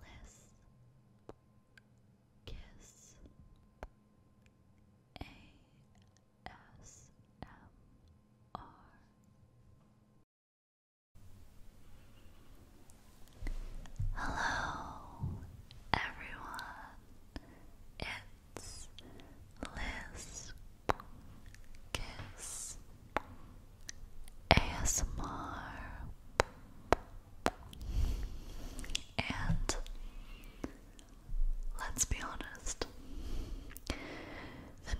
Less Kiss ASMR Hello everyone, it's Liz Kiss ASMR and let's be honest, the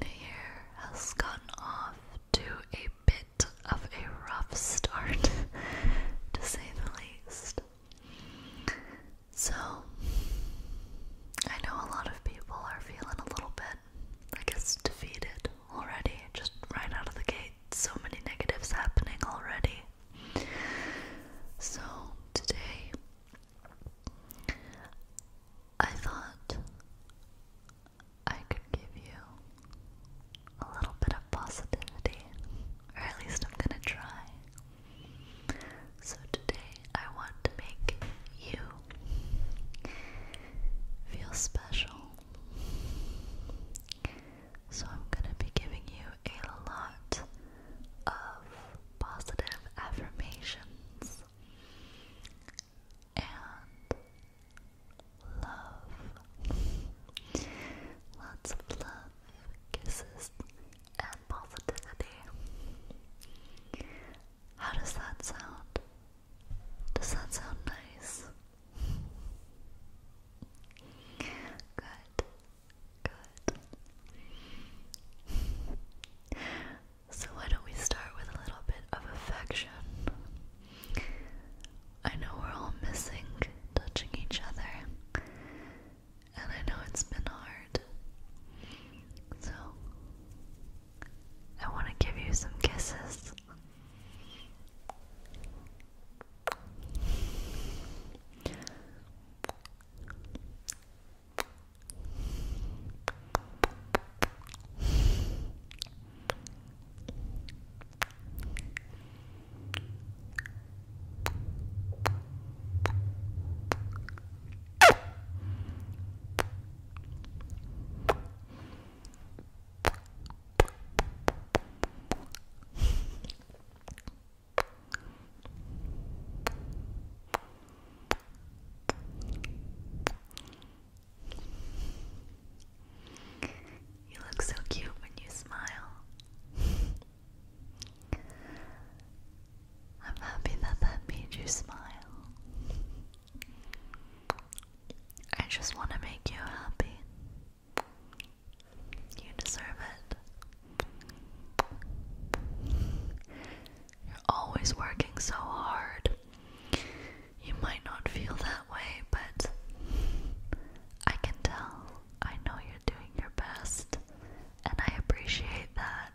new year has gotten off to a bit of a rough start, to say the least. So, I know a lot of people are feeling a little bit I guess defeated already, just right out of the gate. So many negatives happening already. So today I thought I could give you a little bit of positivity, or at least I'm gonna try. So today I want to make you Feel special. So, I'm going to be giving you a lot of positive affirmations and love. Lots of love, kisses, and positivity. How does that sound? Does that sound nice? good, good. So, why don't we start with a little bit of affection? I know we're all missing touching each other, and I know it's been hard. So, I want to give you some kisses. You look so cute when you smile. I'm happy that that made you smile. I just want to make you happy. You deserve it. You're always working so hard. You might not feel that way, but I can tell. I know you're doing your best, and I appreciate that.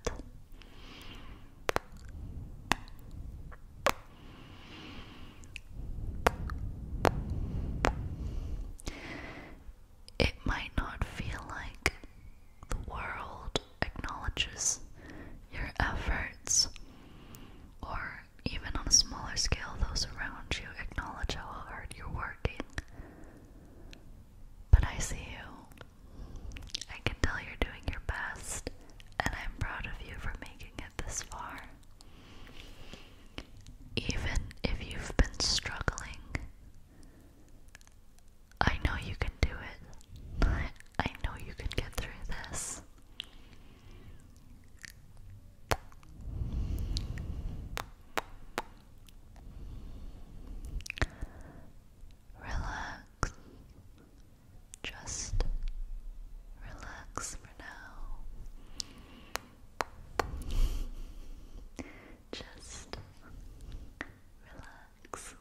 It might not feel like the world acknowledges your efforts, or even on a smaller scale, those around you acknowledge how hard you're working. But I see you, I can tell you're doing your best, and I'm proud of you for making it this far. Even if you've been struggling, I know you can do it. I know you can get through this. Relax. Just relax for now. Just relax.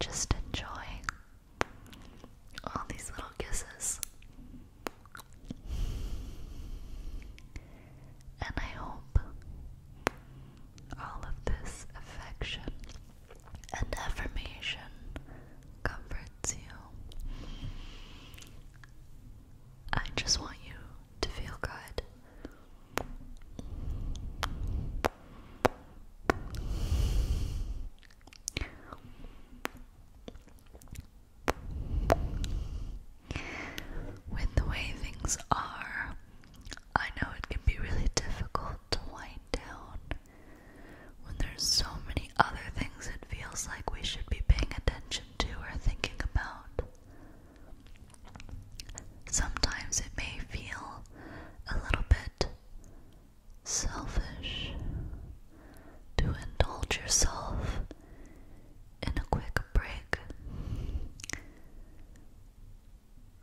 Just enjoy all these little kisses. And I hope all of this affection and affirmation comforts you. I just want you to feel good. With the way things are, I know it can be really difficult to wind down when there's so many other things it feels like we should be paying attention to or thinking about. Sometimes it may feel a little bit selfish to indulge yourself in a quick break.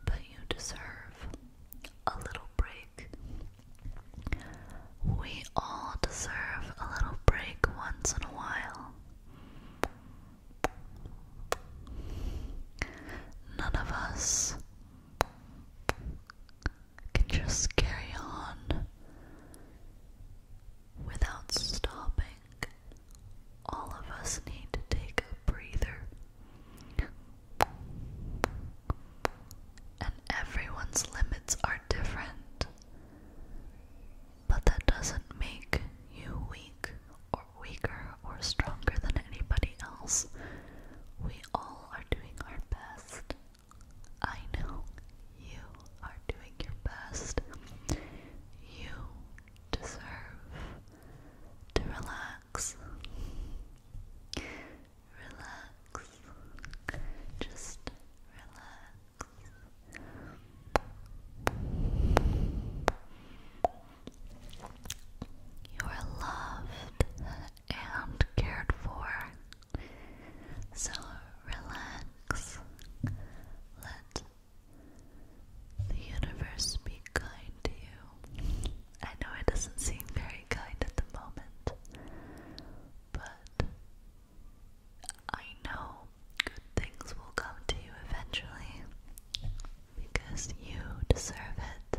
But you deserve a little break. We all deserve a little break once in a while. None of us can just carry on without stopping. All of us need to take a breather. And everyone's limits are different. But that doesn't make you weak or weaker or stronger than anybody else. We all are doing our best. I know you are doing your best. You deserve to relax. Relax. Just relax. You are loved and cared for. So relax. Let the universe be kind to you. I know it doesn't seem very kind at the moment, but I know good things will come to you eventually because you deserve it.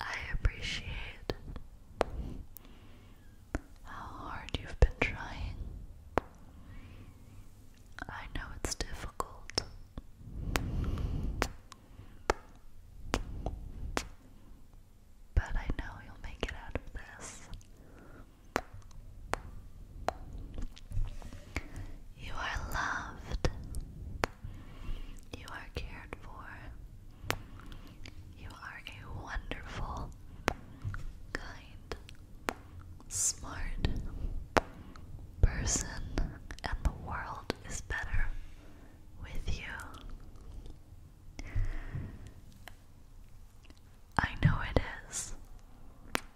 I appreciate how hard you've been trying. I know it's difficult. But I know you'll make it out of this. You are loved. You are cared for. You are a wonderful, kind, smart person, and the world is better with you. I know it is.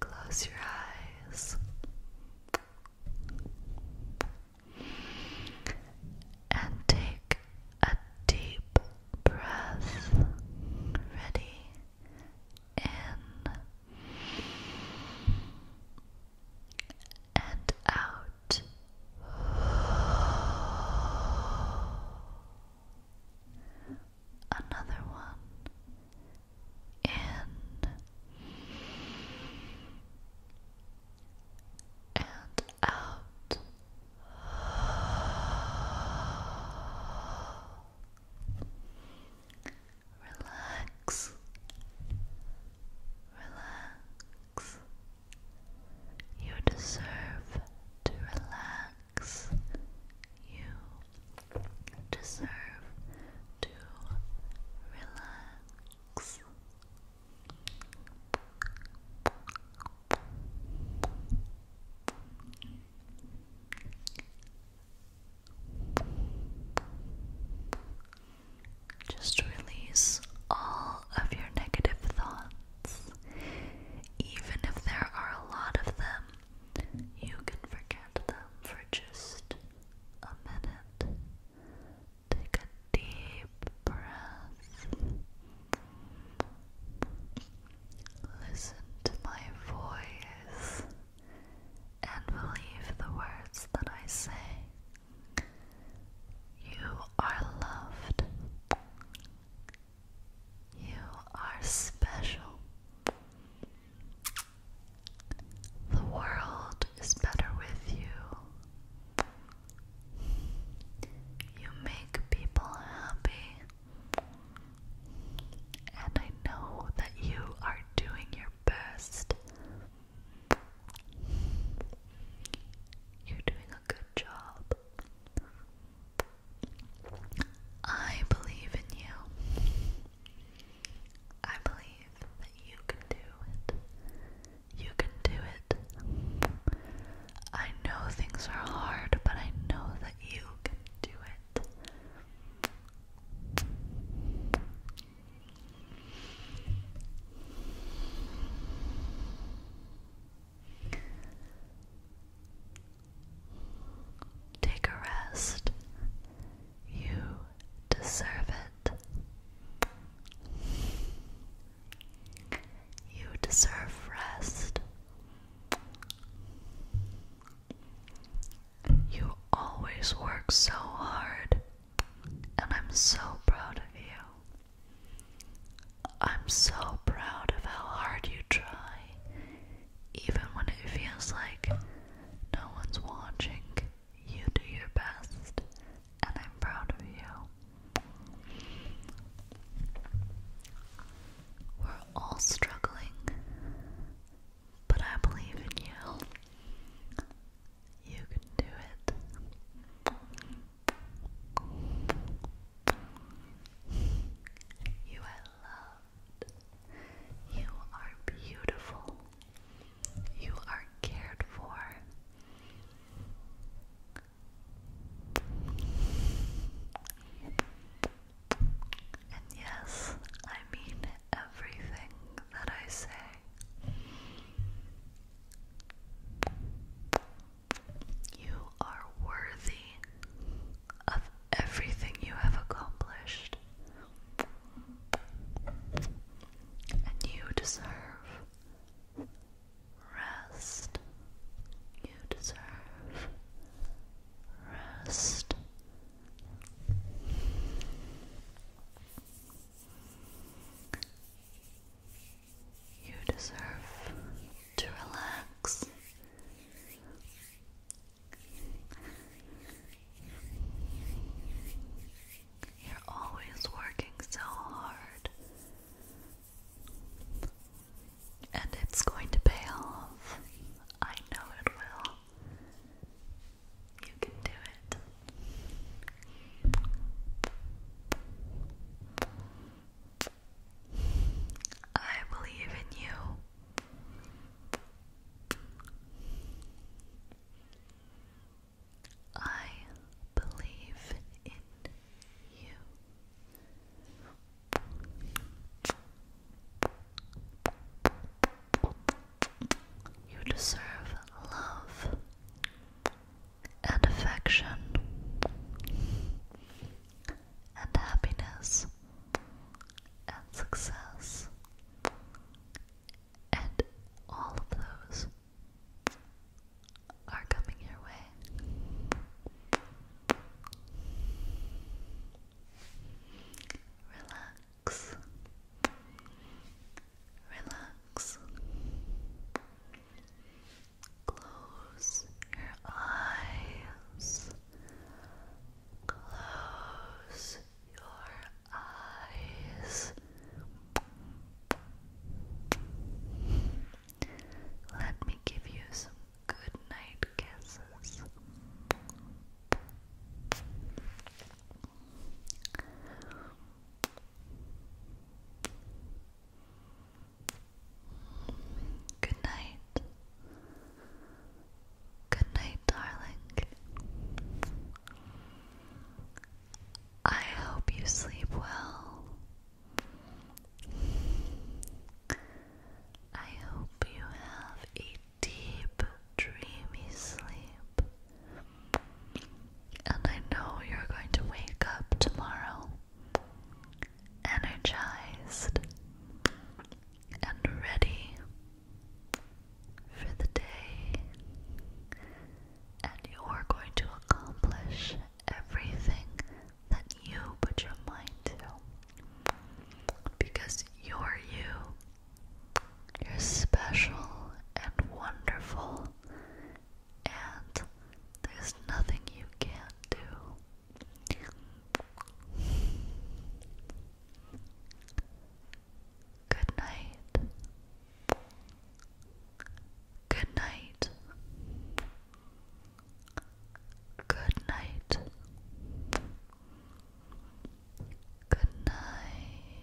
Close your eyes. And take a deep breath. Ready? In and out another one in and out. Relax, relax. You deserve to relax. You deserve to relax. Just release all of your negative thoughts, even if there are a lot of them. You can forget them for just a minute. Take a deep breath. Listen to my voice and believe the words that I say. You are loved. You are special. The world is better with you. You make people happy. And I know that you are doing your best. You're doing a good job. I believe in you. I believe that you can do it. You can do it. I know things are hard, but I know that you can do it. Take a rest. You deserve it. You deserve rest. You always work so hard, and I'm so proud of you. I'm so proud of how hard you try, even when it feels like no one's watching. You do your best, and I'm proud of you. We're all struggling, but I believe in you. You can do it. You are loved. You are beautiful. You are cared for. And yes, I mean everything that I say. You are worthy of everything you have accomplished, and you deserve rest. You deserve rest. You deserve to relax. You're always working so hard, and it's going to pay off. I know it will. You can do it. I believe in you. I believe in you. You deserve love and affection and happiness and success and all of those are coming your way. Relax. Relax. Close your eyes. Close your eyes. Let me give you some good kisses. Good night. Good night, darling. I hope you sleep well. I hope you have a deep, dreamy sleep. And I know you're going to wake up tomorrow energized and ready for the day. And you are going to accomplish everything that you put your mind to. Because you're you. You're special and wonderful and there's nothing you can't do. Good night. Good night. Good night. Good night.